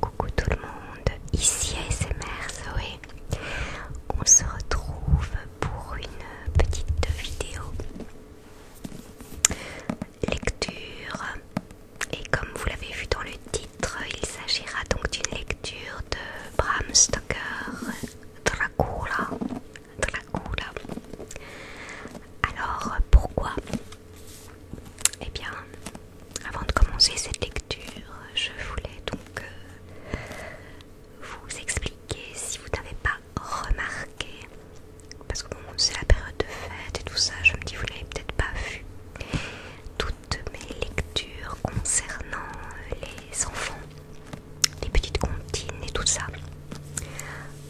Coucou tout le monde, ici ASMR Zoé. On se retrouve pour une petite vidéo lecture. Et comme vous l'avez vu dans le titre, il s'agira donc d'une lecture de Bram Stoker, Dracula, la Alors pourquoi Eh bien, avant de commencer cette lecture, je voulais donc euh, vous expliquer si vous n'avez pas remarqué, parce que bon, c'est la période de fête et tout ça, je me dis vous n'avez peut-être pas vu. Toutes mes lectures concernant les enfants les petites comptines et tout ça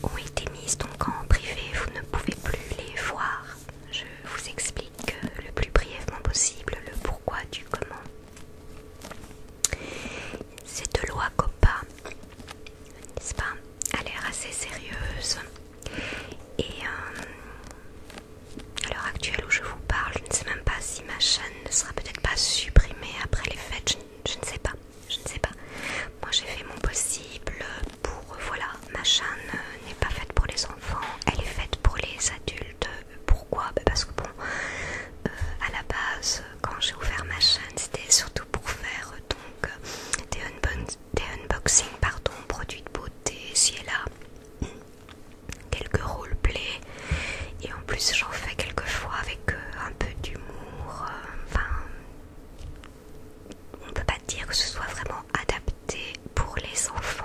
ont été mises donc en privé, vous ne pouvez plus les voir. Je vous explique le plus brièvement possible le pourquoi du comment. Cette loi COPPA, n'est-ce pas, a l'air assez sérieuse et euh, à l'heure actuelle où je vous parle, je ne sais même pas si ma chaîne ne sera peut-être pas supprimée après les fêtes, je ne sais pas, je ne sais pas. Moi j'ai fait mon possible pour, voilà, ma chaîne euh, n'est pas faite pour les enfants, elle est faite pour les adultes. Pourquoi ben, Parce que bon, euh, à la base, quand j'ai ouvert ma chaîne, c'était surtout pour faire euh, donc des, unboxings, pardon, produits de beauté, si elle a quelques roleplays et en plus, j'en fais quelquefois avec euh, un peu d'humour. Euh, enfin, on peut pas dire que ce soit vraiment adapté pour les enfants.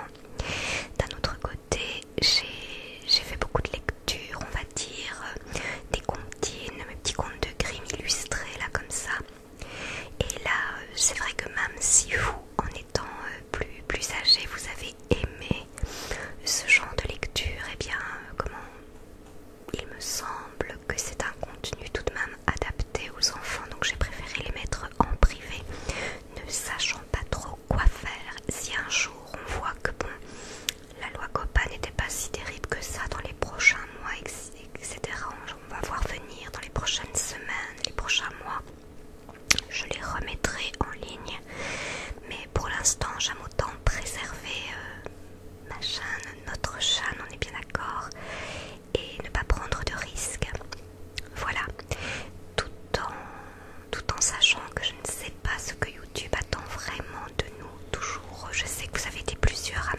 D'un autre côté, j'ai fait beaucoup de lectures, on va dire, euh, des comptines, mes petits contes de Grimm illustrés, là, comme ça. Et là, c'est vrai que même si vous, en étant plus, plus âgé, vous avez aimé ce genre de lecture, et eh bien, euh, comment il me semble que c'est un contenu tout de même adapté aux enfants, donc j'ai préféré les mettre en privé, ne sachant pas trop quoi faire. Si un jour on voit que bon, la loi COPA n'était pas si terrible que ça dans les prochains mois, etc., on va voir venir dans les prochaines semaines, les prochains mois, je les remettrai en ligne mais pour l'instant, j'aime autant préserver euh, ma chaîne, notre chaîne, on est bien d'accord, et ne pas prendre de risques. Voilà, tout en, tout en sachant que je ne sais pas ce que YouTube attend vraiment de nous toujours. Je sais que vous avez été plusieurs à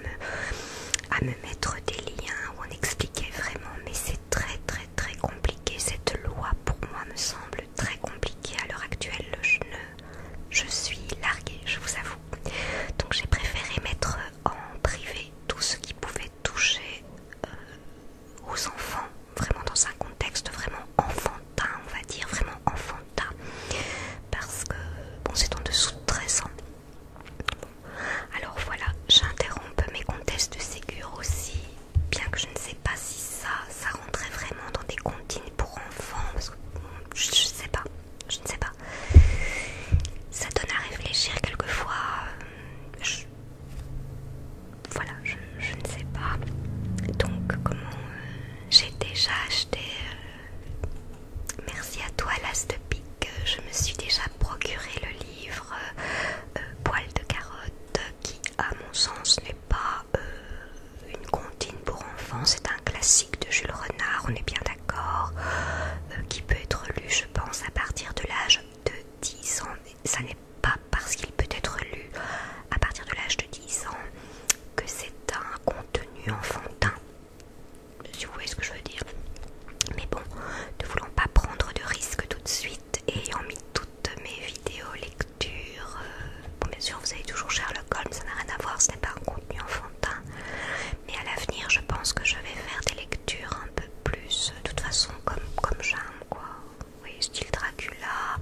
me, mettre des liens où on expliquait vraiment, mais c'est très très très compliqué. Cette loi pour moi me semble très compliquée à l'heure actuelle je suis larguée, je vous avoue. Donc j'ai préféré mettre en privé tout ce qui pouvait toucher euh, aux enfants, vraiment dans un contexte vraiment enfantin, on va dire, vraiment enfantin. Parce que, bon, c'est en dessous de 13 ans. Alors voilà, j'interromps mes contests de Ségur aussi, bien que je ne sais pas si ça ça rentrait vraiment dans des comptines pour enfants, parce que, hmm, je, sais pas, je ne sais pas. Ça donne à réfléchir quelquefois. Euh, voilà, je, ne sais pas. Donc, comment euh, j'ai déjà acheté. Euh, merci à toi, Las de Pique. Je me suis déjà procuré le livre Poil de carotte, qui, à mon sens, n'est pas euh, une comptine pour enfants, c'est un classique de Jules Renard, on est bien d'accord, euh, qui peut être lu, je pense, à partir de l'âge de 10 ans. ça n'est pas parce qu'il peut être lu à partir de l'âge de 10 ans que c'est un contenu enfantin. Si vous voyez ce que je veux dire. Mais bon, ne voulant pas prendre de risques tout de suite et ayant mis toutes mes vidéos lectures lecture. bien sûr, vous avez toujours Sherlock Holmes, ça n'a rien à voir, ce n'est pas un contenu enfantin. Mais à l'avenir, je pense que je vais faire des lectures un peu plus, euh, de toute façon, comme, comme j'aime, quoi. Oui, style Dracula,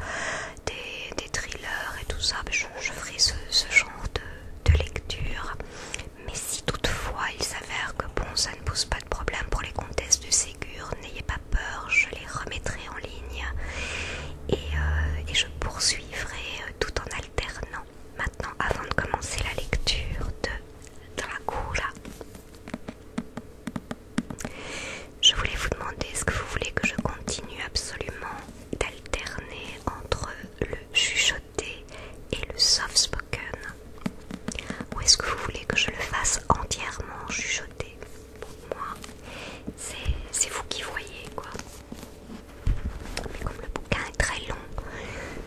des, des thrillers et tout ça. je, ferai ce, genre de, de lecture. Mais si toutefois il s'avère que bon, ça ne pose pas de problème pour les comtesses de Ségur, n'ayez pas peur, je les remettrai en ligne. Euh, et, je poursuivrai euh, tout en alternant. Maintenant, avant de commencer la lecture de Dracula, je voulais vous demander est-ce que vous voulez que je continue absolument d'alterner entre le chuchoté et le soft spoken Ou est-ce que vous voulez que je le fasse entièrement chuchoté pour moi. C'est vous qui voyez quoi. Mais comme le bouquin est très long,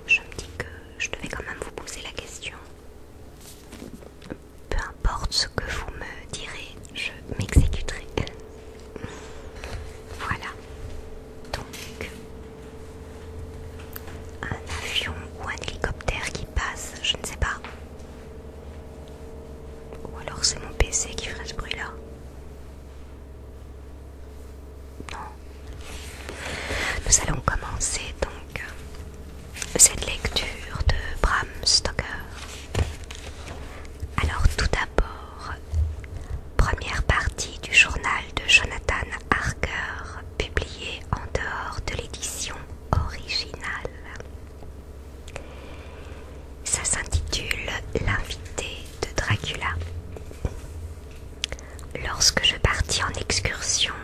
je me dis que je devais quand même vous poser la question. Peu importe ce que vous me direz, je m'exécuterai. Voilà. Donc, un avion ou un hélicoptère qui passe, je ne sais pas. Ou alors c'est mon PC qui ferait ce bruit là. Non. Nous allons commencer donc euh, cette lecture de Bram Stoker. Alors tout d'abord, première partie du journal de Jonathan Harker, publié en dehors de l'édition originale. Ça s'intitule L'invité de Dracula. Lorsque je partis en excursion,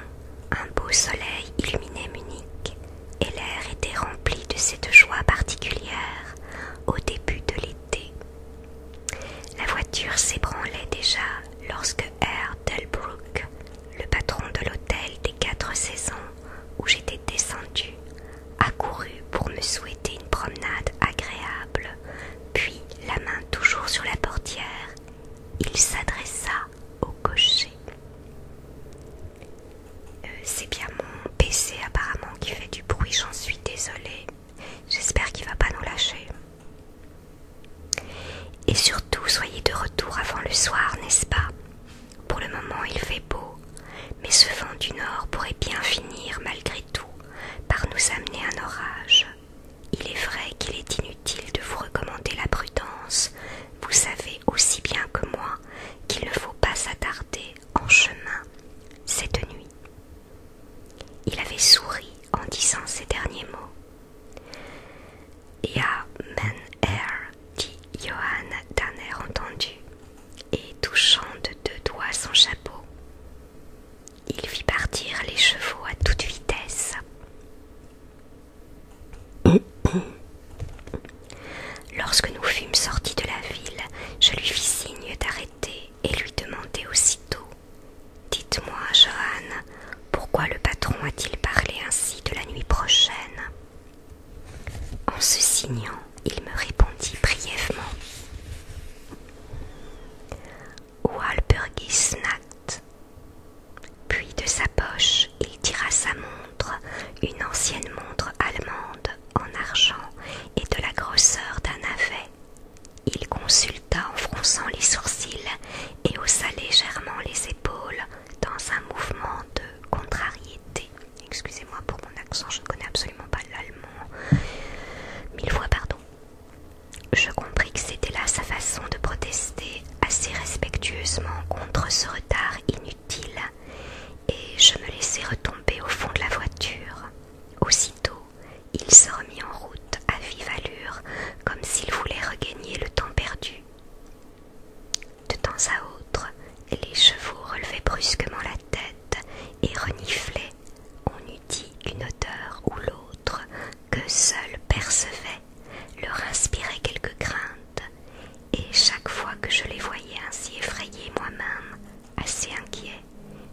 un beau soleil illuminait Munich et l'air était rempli de cette joie particulière au début de l'été. La voiture s'ébranlait déjà lorsque R. Delbrook, le patron de l'hôtel des quatre saisons où j'étais descendu, accourut pour me souhaiter une promenade agréable, puis, la main toujours sur la portière, il s'adressa au cocher. Euh, c'est bien mon PC apparemment qui fait du bruit, j'en suis désolée. J'espère qu'il va pas nous lâcher. Et surtout, soyez de retour avant le soir, n'est-ce pas Pour le moment, il fait beau mais ce vent du nord pourrait bien finir malgré tout par nous amener un orage. Il est vrai qu'il est inutile de vous recommander la prudence, vous savez aussi bien que moi qu'il ne faut pas s'attarder en chemin cette nuit. Il avait souri en disant ces derniers mots. et dit Johan, d'un air entendu et touchant de deux doigts son chapeau, il fit partir les chevaux à toute vitesse. Lorsque nous fûmes sortis de la ville, je lui fis signe d'arrêter et lui demandai aussitôt Dites-moi, Johan, pourquoi le patron a-t-il parlé ainsi de la nuit prochaine en se signant, il me répondit brièvement. Walpurgisnacht. Puis de sa poche, il tira sa montre, une ancienne montre allemande en argent et de la grosseur d'un navet. Il consulta en fronçant les sourcils et haussa légèrement les épaules dans un mouvement de contrariété. Excusez-moi pour mon accent, je ne connais absolument pas l'allemand. Mille fois pardon. Je compris que c'était là sa façon de protester assez respectueusement contre ce retard inutile et je me laissai retomber au fond de la voiture. Aussitôt, il se remit en route à vive allure comme s'il voulait regagner le temps perdu. De temps à autre, les chevaux relevaient brusquement la tête et reniflait, on eût dit une odeur ou l'autre que seuls percevaient leur inspirait quelque crainte, et chaque fois que je les voyais ainsi effrayés moi-même, assez inquiet,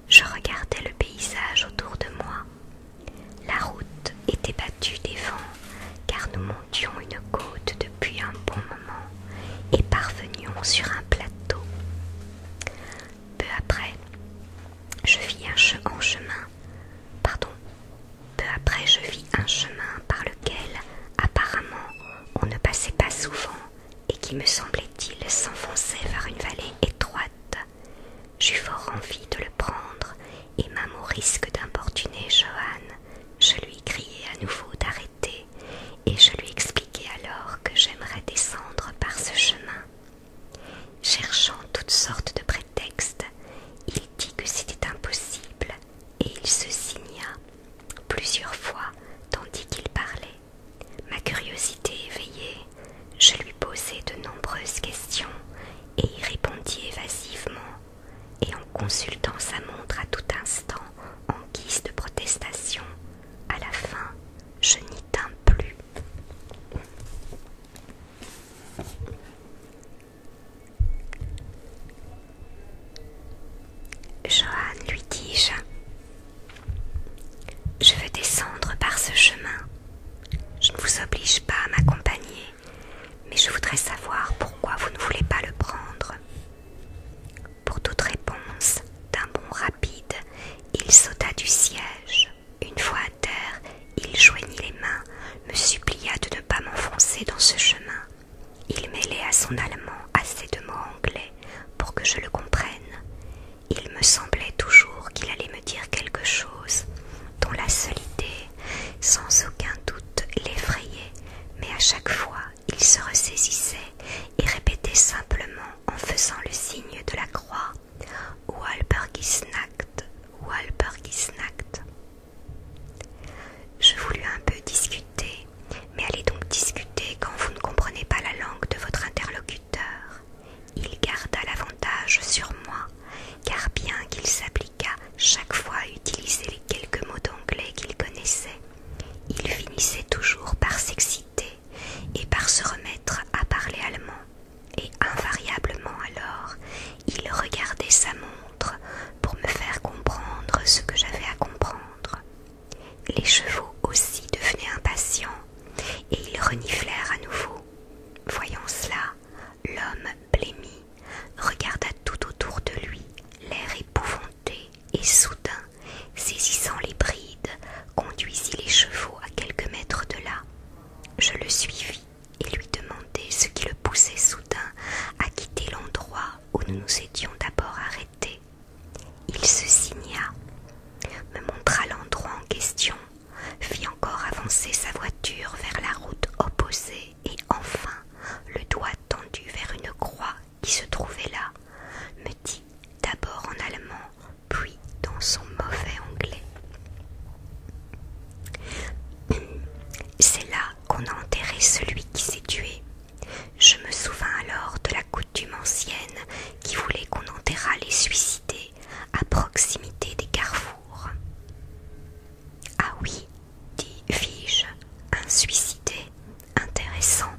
je regardais le paysage autour de moi. La route était battue des vents, car nous montions une côte depuis un bon moment et parvenions sur un plateau. Peu après, je vis un chemin, pardon, peu après je vis un chemin par lequel apparemment on ne passait pas souvent et qui me semblait-il s'enfonçait vers une vallée étroite. J'eus fort envie de le prendre et même au risque d'importuner Johan, je lui criai à nouveau d'arrêter et je lui expliquai alors que j'aimerais descendre par ce chemin. Cherchant toutes sortes de prétextes, il dit que c'était impossible et il se signa plusieurs fois tandis qu'il parlait. Ma curiosité éveillée, je lui posai de nombreuses questions et y répondit évasivement et en consultant sa montre à tout instant en guise de protestation à la fin, je n'y tins plus. Johan, lui dis-je, je veux descendre par ce chemin. Je ne vous oblige pas à m'accompagner, mais je voudrais savoir pourquoi vous ne voulez pas le prendre. Pour toute réponse, d'un bond rapide, il sauta du siège. Une fois à terre, il joignit les mains, me supplia de ne pas m'enfoncer dans ce chemin. Il mêlait à son allemand assez de mots anglais pour que je le comprenne. Il me semblait toujours qu'il allait me dire quelque chose dont la seule idée, sans aucun doute, l'effrayait, mais à chaque fois il se ressaisissait et répétez simplement en faisant le signe de la croix Walbergisnacht, Walbergisnacht. Je voulus un peu discuter, mais allez donc discuter quand vous ne comprenez pas la langue de votre interlocuteur. Il garda l'avantage sur moi, car bien qu'il s'appliquât chaque fois à utiliser les quelques mots d'anglais qu'il connaissait, il finissait toujours par s'exciter et par se remettre à parler allemand. Et invariablement alors, il regardait sa montre pour me faire comprendre ce que j'avais à comprendre. Les chevaux aussi devenaient impatients, et ils reniflèrent à nouveau. Voyant cela, l'homme blêmit, regarda tout autour de lui, l'air épouvantable et soudain, saisissant les brides, conduisit les chevaux à quelques mètres de là. Je le suivis et lui demandai ce qui le poussait soudain à quitter l'endroit où nous nous étions d'abord arrêtés. Il se signa, me montra l'endroit en question, fit encore avancer sa voiture vers la route opposée et enfin, le doigt tendu vers une croix qui se trouvait là, me dit d'abord en allemand, puis dans son mauvais anglais. C'est là qu'on a enterré celui qui s'est tué. Je me souvins alors de la coutume ancienne qui voulait qu'on enterrât les suicidés à proximité des carrefours. Ah oui, dit fis-je, un suicidé intéressant.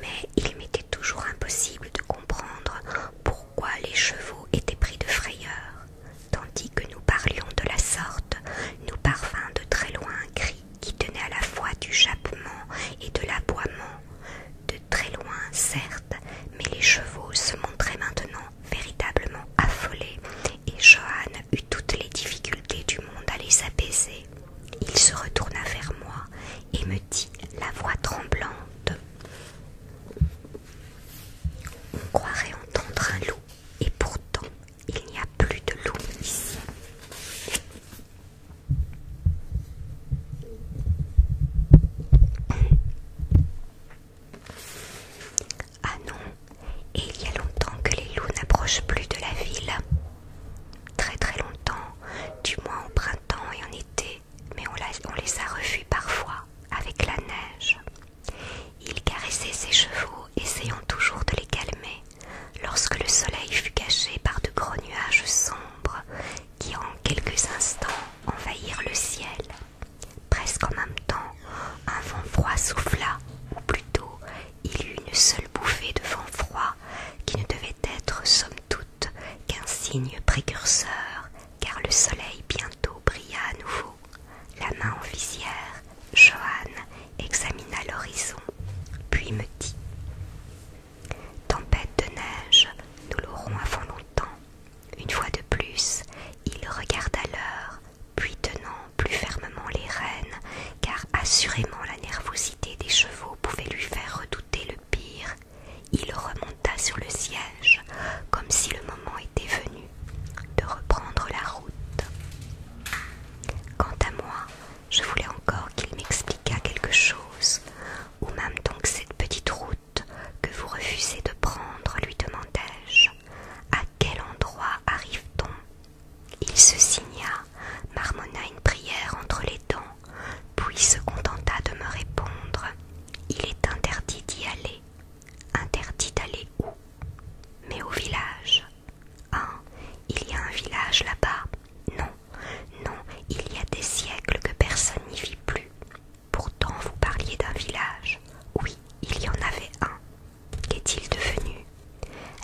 Mais il m'était toujours impossible de comprendre pourquoi les chevaux étaient pris de frayeur. Tandis que nous parlions de la sorte, nous parvint de très loin un cri qui tenait à la fois du jappement et de l'aboiement. De très loin, certes, mais les chevaux se montraient maintenant véritablement affolés, et Johan eut toutes les difficultés du monde à les apaiser. Il se retourna vers moi et me dit la voix tremblante On croirait entendre un loup, et pourtant il n'y a plus de loups ici. Ah non, et il y a longtemps que les loups n'approchent plus de la ville très très longtemps, du moins au printemps et en été, mais on, les a revus parfois avec la neige. Il caressait ses chevaux, essayant toujours de les calmer, lorsque le soleil fut caché par de gros nuages sombres qui en quelques instants envahirent le ciel. Presque en même temps, un vent froid souffla, ou plutôt il eut une seule bouffée de vent froid qui ne devait être somme toute qu'un signe précurseur, car le soleil bientôt brilla à nouveau. La main en visière, Johan examina l'horizon, puis me dit Tempête de neige, nous l'aurons avant longtemps. Une fois de plus, il regarda l'heure, puis tenant plus fermement les rênes, car assurément la nervosité des chevaux pouvait lui faire redouter le pire. Il remonta sur le siège, comme si le moment était venu de reprendre la route. Quant à moi, je voulais encore qu'il m'expliquât quelque chose, ou même donc cette petite route que vous refusez de prendre, lui demandai-je. À quel endroit arrive-t-on il se signa, marmonna une prière entre les dents, puis se contenta de me répondre. Il est interdit d'y aller. Interdit d'aller où Mais au village. Ah Il y a un village là-bas Non, non, il y a des siècles que personne n'y vit plus. Pourtant vous parliez d'un village. Oui, il y en avait un. Qu'est-il devenu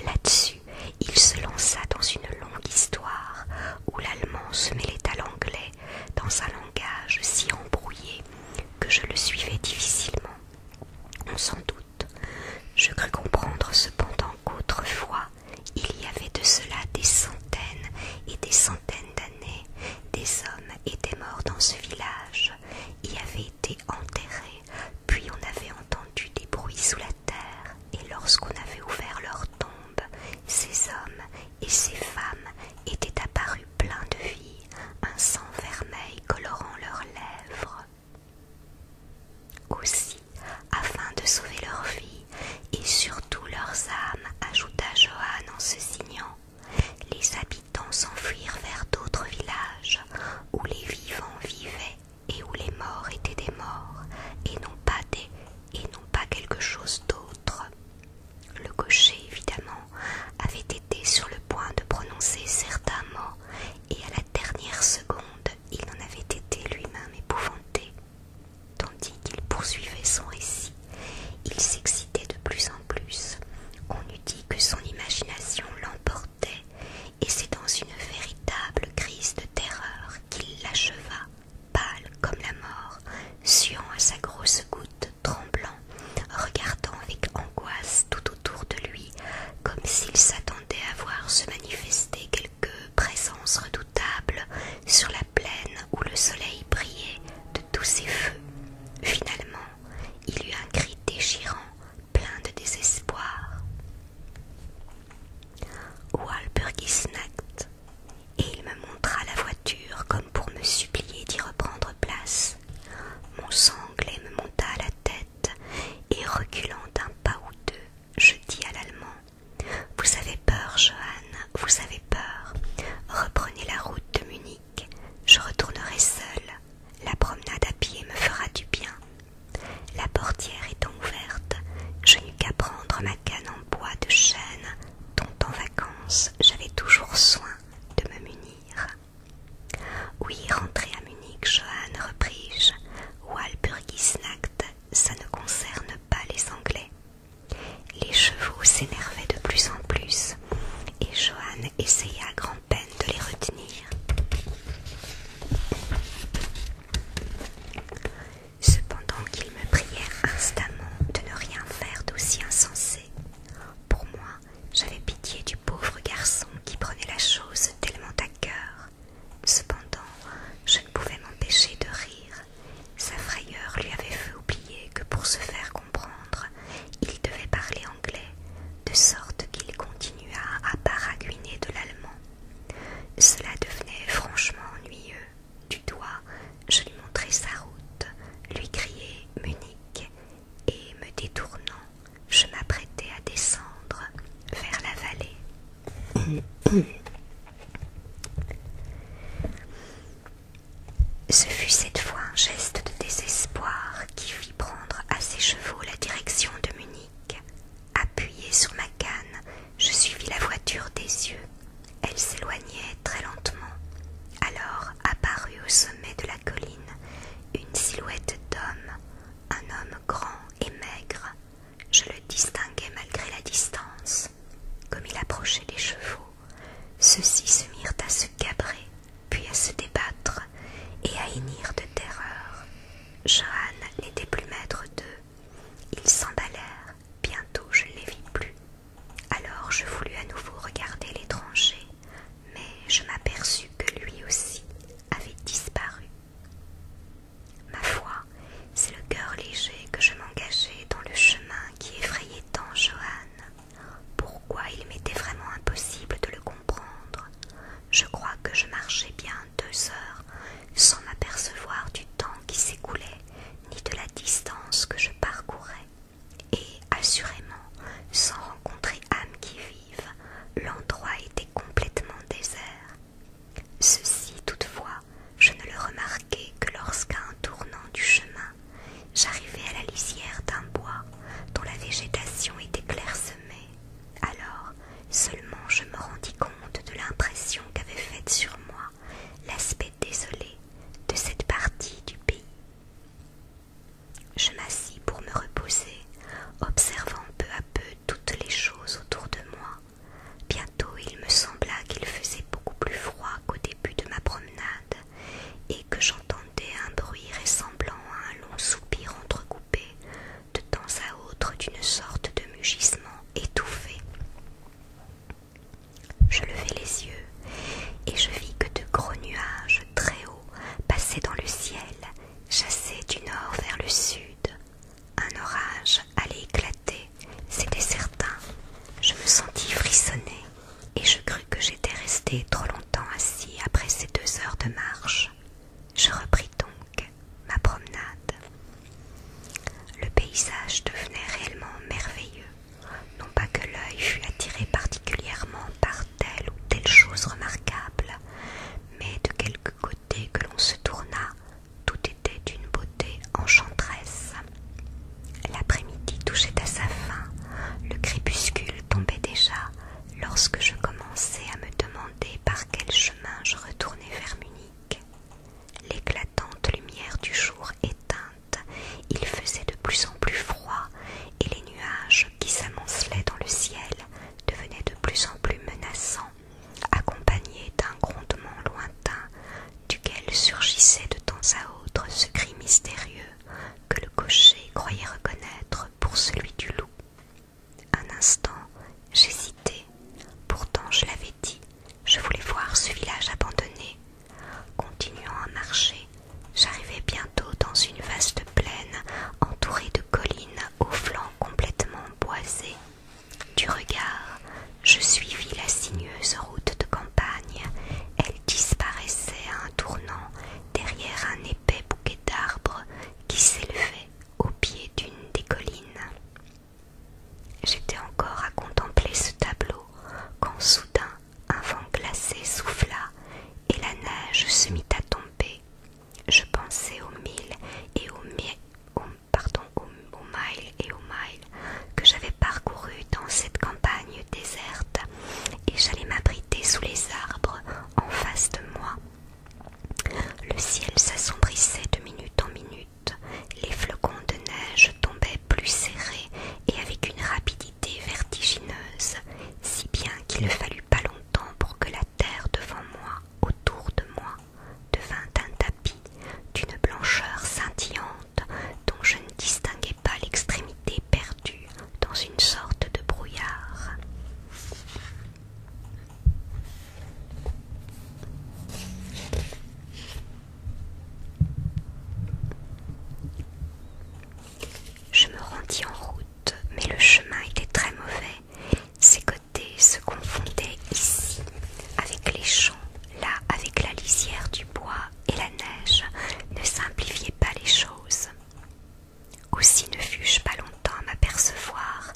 Là-dessus, il se lança dans une longue histoire où l'allemand se mêlait à l'anglais dans un langage si embrouillé que je le suivais difficilement. On s'en doute. Je crus comprendre cependant qu'autrefois, il y avait de cela des centaines et des centaines d'années, des hommes étaient morts dans ce village, y avaient été enterrés puis on avait entendu des bruits sous la terre, et lorsqu'on avait ouvert leur tombe, ces hommes et ces femmes étaient apparus pleins de vie, un sang vermeil colorant leurs lèvres. Aussi, afin de sauver leur vie et surtout leurs âmes, ajouta Johan en se signant, les habitants s'enfuirent vers d'autres villages où les vivants vivaient et où les morts étaient des morts et non pas des et non pas quelque chose d'autre. Le cocher, évidemment, avait été sur le point de prononcer certains mots, et à la dernière seconde, il en avait été lui-même épouvanté. Tandis qu'il poursuivait son récit, il s'excitait de plus en plus. On eût dit que son imagination l'emportait, et c'est dans une véritable crise de terreur qu'il l'acheva, pâle comme la mort, suant à sa grosse goutte, tremblant, regardant avec angoisse tout autour de lui, comme s'il s'attendait à voir se manifester quelque présence redoutable sur la plaine où le soleil brillait de tous ses feux. Finalement, il eut un cri déchirant, plein de désespoir et il me montra la voiture comme pour me supplier d'y reprendre place. Mon sanglé me monta à la tête, et reculant d'un pas ou deux, je dis à l'allemand Vous avez peur, Johann, vous avez peur. Reprenez la route de Munich, je retournerai seule, La promenade à pied me fera du bien. La portière étant ouverte, je n'eus qu'à prendre ma canne en bois de chêne dont en vacances j'avais toujours soin de me munir. Oui, rentrez à Munich, Joanne, repris-je, Walpurgisnacht, ça ne concerne pas les Anglais. Les chevaux s'énervaient de plus en plus, et Johann essaya à grand peine de les retenir. Cependant qu'il me priait instamment de ne rien faire d'aussi insensé, pour moi j'avais pitié du pauvre garçon qui prenait la chose tellement à cœur. Cependant, je ne pouvais m'empêcher de rire. Sa frayeur lui avait fait oublier que pour se faire comprendre, il devait parler anglais, de sorte qu'il continua à paraguiner de l'allemand cela devenait franchement ennuyeux. Du doigt, je lui montrai sa route, lui criai « Munich, et me détournant, je m'apprêtais à descendre vers la vallée. Ce fut cette fois un geste de désespoir qui fit prendre à ses chevaux la direction de Munich. Appuyé sur ma canne, je suivis la voiture des yeux. Elle s'éloignait très lentement. Alors apparut au sommet de la colline une silhouette d'homme, un homme grand et maigre. Je le distinguais malgré la distance. Comme il approchait les chevaux, ceux-ci se mirent à se cabrer, puis à se débattre et à hennir de terreur. Johan n'était plus maître d'eux. Ils s'emballèrent. bientôt je ne les vis plus. Alors je voulus à nouveau regarder l'étranger, mais je m'aperçus que lui aussi avait disparu. Ma foi, c'est le cœur léger que je m'engageais dans le chemin qui effrayait tant Johan. Pourquoi il m'était vraiment impossible de le comprendre, je crois que je marchais bien deux heures sans m'apercevoir du temps qui s'écoulait ni de la distance que je parcourais, et assurément, sans rencontrer âme qui vive, l'endroit était complètement désert. Ceci, toutefois, je ne le remarquai que lorsqu'à un tournant du chemin, j'arrivai à la lisière d'un bois dont la végétation était clairsemée. Alors seulement je me rendis compte de l'impression qu'avait faite sur moi l'aspect désolé de cette partie du pays. Je m'assis pour me reposer, observant peu à peu toutes les choses autour de moi. Bientôt il me sembla qu'il faisait beaucoup plus froid qu'au début de ma promenade et que j'entendais un bruit ressemblant à un long soupir entrecoupé de temps à autre d'une sorte de mugissement étouffé. Je levai les yeux et je vis que de gros nuages très hauts passaient dans le ciel, chassés du nord vers le sud. Un orage allait éclater, c'était certain. Je me sentis frissonner et je crus que j'étais resté trop longtemps assis après ces deux heures de marche. Je repris donc ma promenade. Le paysage devenait réellement merveilleux, non pas que l'œil fût attiré particulièrement par telle ou telle chose remarquable, mais de quelque côté que l'on se tourna, tout était d'une beauté enchanteresse. L'après-midi touchait à sa fin, le crépuscule tombait déjà, lorsque je commençais à me demander par quel chemin je retournais vers Munich. L'éclatante lumière du jour éteinte, il faisait de plus en plus froid et les nuages qui s'amoncelaient dans le ciel devenaient de plus en plus menaçants, accompagnés d'un grondement lointain duquel surgissait de temps à autre ce cri mystérieux que le cocher croyait reconnaître pour celui du loup. Un instant, j'hésitai. Pourtant, je l'avais dit, je voulais voir ce village abandonné. Continuant à marcher, j'arrivai bientôt dans une vaste plaine entourée de collines aux flancs complètement boisés. Du regard, je suivis la sinueuse route de campagne. Elle disparaissait à un tournant derrière un épais bouquet d'arbres qui s'élevait au pied d'une des collines. J'étais encore à contempler ce tableau quand soudain un vent glacé souffla et la neige se mit à tomber. Je pensais aux milles et aux, mi miles et aux miles que j'avais parcourus dans cette campagne déserte et j'allais m'abriter sous les arbres en face de moi. Le ciel s'assombrissait de minute en minute les flocons de neige tombaient plus serrés et avec une rapidité vertigineuse, si bien qu'il ne fallut pas longtemps pour que la terre devant moi, autour de moi, devint un tapis d'une blancheur scintillante dont je ne distinguais pas l'extrémité perdue dans une sorte de brouillard. Je me rendis en route, mais le chemin était très mauvais. Ses côtés se confondaient ici avec les champs, là avec la lisière du bois et la neige ne simplifiait pas les choses. Aussi ne fus-je pas longtemps à m'apercevoir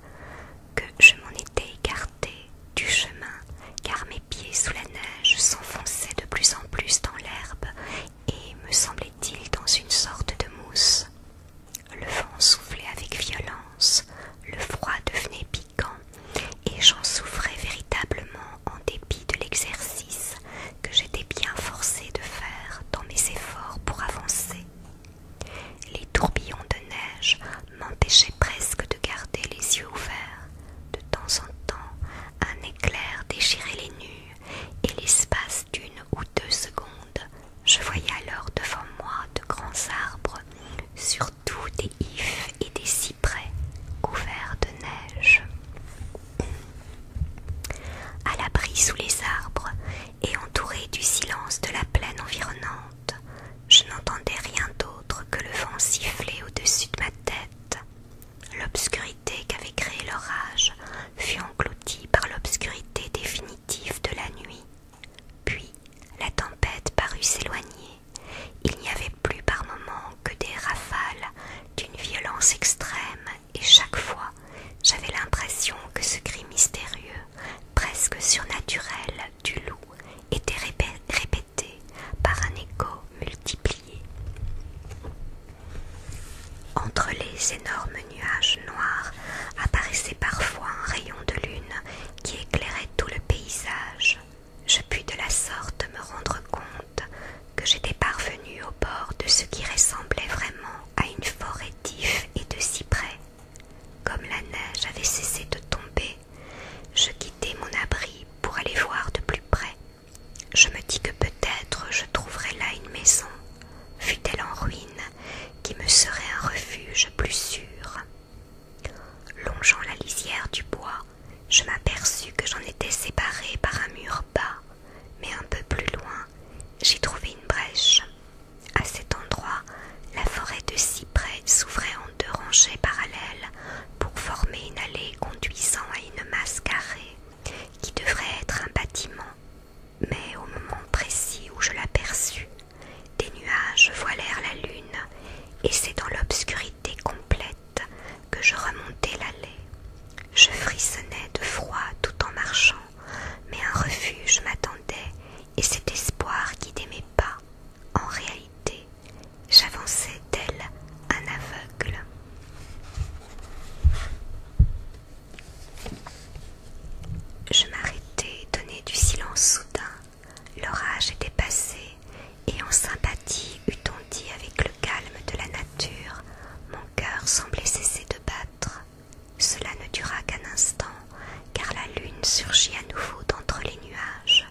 que je m'en étais écartée du chemin car mes pieds sous la neige s'enfonçaient de plus en plus dans l'herbe et me semblaient-ils dans une sorte de mousse. Le vent soufflait avec violence, le froid devenait piquant et j'en souffrais véritablement en dépit de l'exercice que j'étais bien forcé de faire dans mes efforts pour avancer. Les tourbillons de neige m'empêchaient presque de garder les yeux ouverts. De temps en temps, un éclair déchirait les nues, et l'espace d'une ou deux secondes, je voyais alors devant moi de grands arbres, surtout des ifs et des cyprès, couverts de neige. À l'abri sous les arbres et entouré du silence de la plaine environnante, je n'entendais rien d'autre que le vent siffler au-dessus de ma tête. L'obscurité qu'avait créée l'orage fut engloutie par l'obscurité définitive de la nuit. Puis la tempête parut s'éloigner. Il n'y avait plus par moments que des rafales d'une violence extrême, et chaque fois j'avais l'impression que ce cri mystérieux, presque surnaturel, du loup était répété par un écho multiplié. Entre les énormes nuages noirs apparaissait parfois un rayon de lune qui éclairait tout le paysage. Je pus de la sorte me rendre compte que j'étais parvenu au bord de ce qui ressemblait vraiment à une forêt d'ifs et de cyprès. Comme la neige avait cessé de tomber, je quittai mon abri pour aller voir de plus près. Je me dis que peut-être je trouverais là une maison, fût-elle en ruine, qui me serait un refuge plus sûr. Longeant la lisière du bois, je m'aperçus que j'en étais séparé par un mur bas, mais un peu plus loin, j'y trouvai une brèche. À cet endroit, la forêt de cyprès s'ouvrait en deux rangées parallèles pour former une allée conduisant à une masse carrée qui devrait être un bâtiment. Mais au moment précis où je l'aperçus, des nuages voilèrent la lune et c'est dans l'obscurité complète que je remontai l'allée. Je frissonnais de froid tout en marchant, mais un refuge m'attendait et cet espoir qui n'aimait pas. En réalité, j'avançais d'elle, un aveugle. Je m'arrêtai, étonnée du silence soudain. L'orage était passé, et en sympathie eût-on dit avec le calme de la nature, mon cœur semblait cesser de battre. Cela ne dura qu'un instant, car la lune surgit à nouveau d'entre les nuages,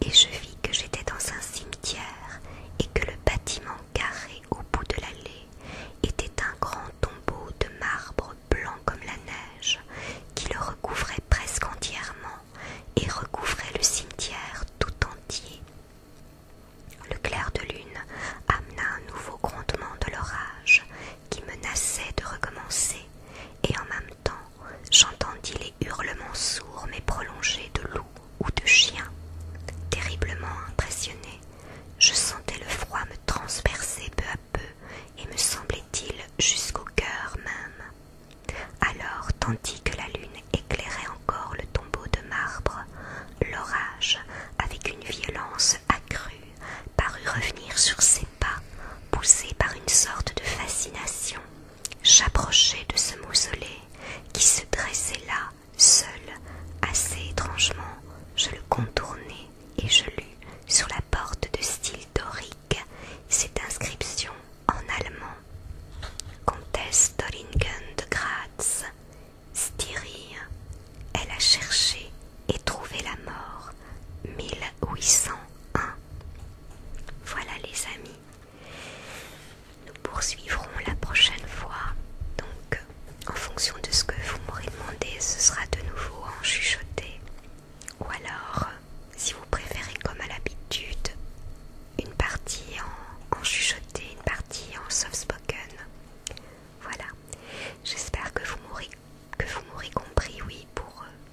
et je vis que j'étais dans un cimetière, et que le bâtiment carré au bout de l'allée était un grand tombeau de marbre blanc comme la neige, qui le recouvrait presque entièrement, et recouvrait le cimetière tout entier. Le clair de lune amena un nouveau grondement de l'orage qui menaçait de recommencer, et en même temps j'entendis les hurlements sourds mais prolongés de loups ou de chiens Terriblement impressionné, je sentais le froid me transpercer peu à peu et me semblait-il jusqu'au cœur même. Alors, tandis que la lune éclairait encore le tombeau de marbre, l'orage, avec une violence accrue, parut revenir sur ses pas, poussé par une sorte de fascination, j'approchai de ce mausolée qui se dressait là, seul, assez étrangement. Je le contournai et je lus sur la porte de style dorique cette inscription en allemand. Comtesse Doringen de Graz, Styrie, elle a cherché et trouvé la mort 1801. Voilà les amis. Nous poursuivrons la prochaine fois. Donc en fonction de ce que vous m'aurez demandé, ce sera de nouveau en chuchoté. Ou alors, si vous préférez comme à l'habitude, une partie en, chuchoté, une partie en soft spoken. Voilà. J'espère que vous m'aurez compris, oui, pour eux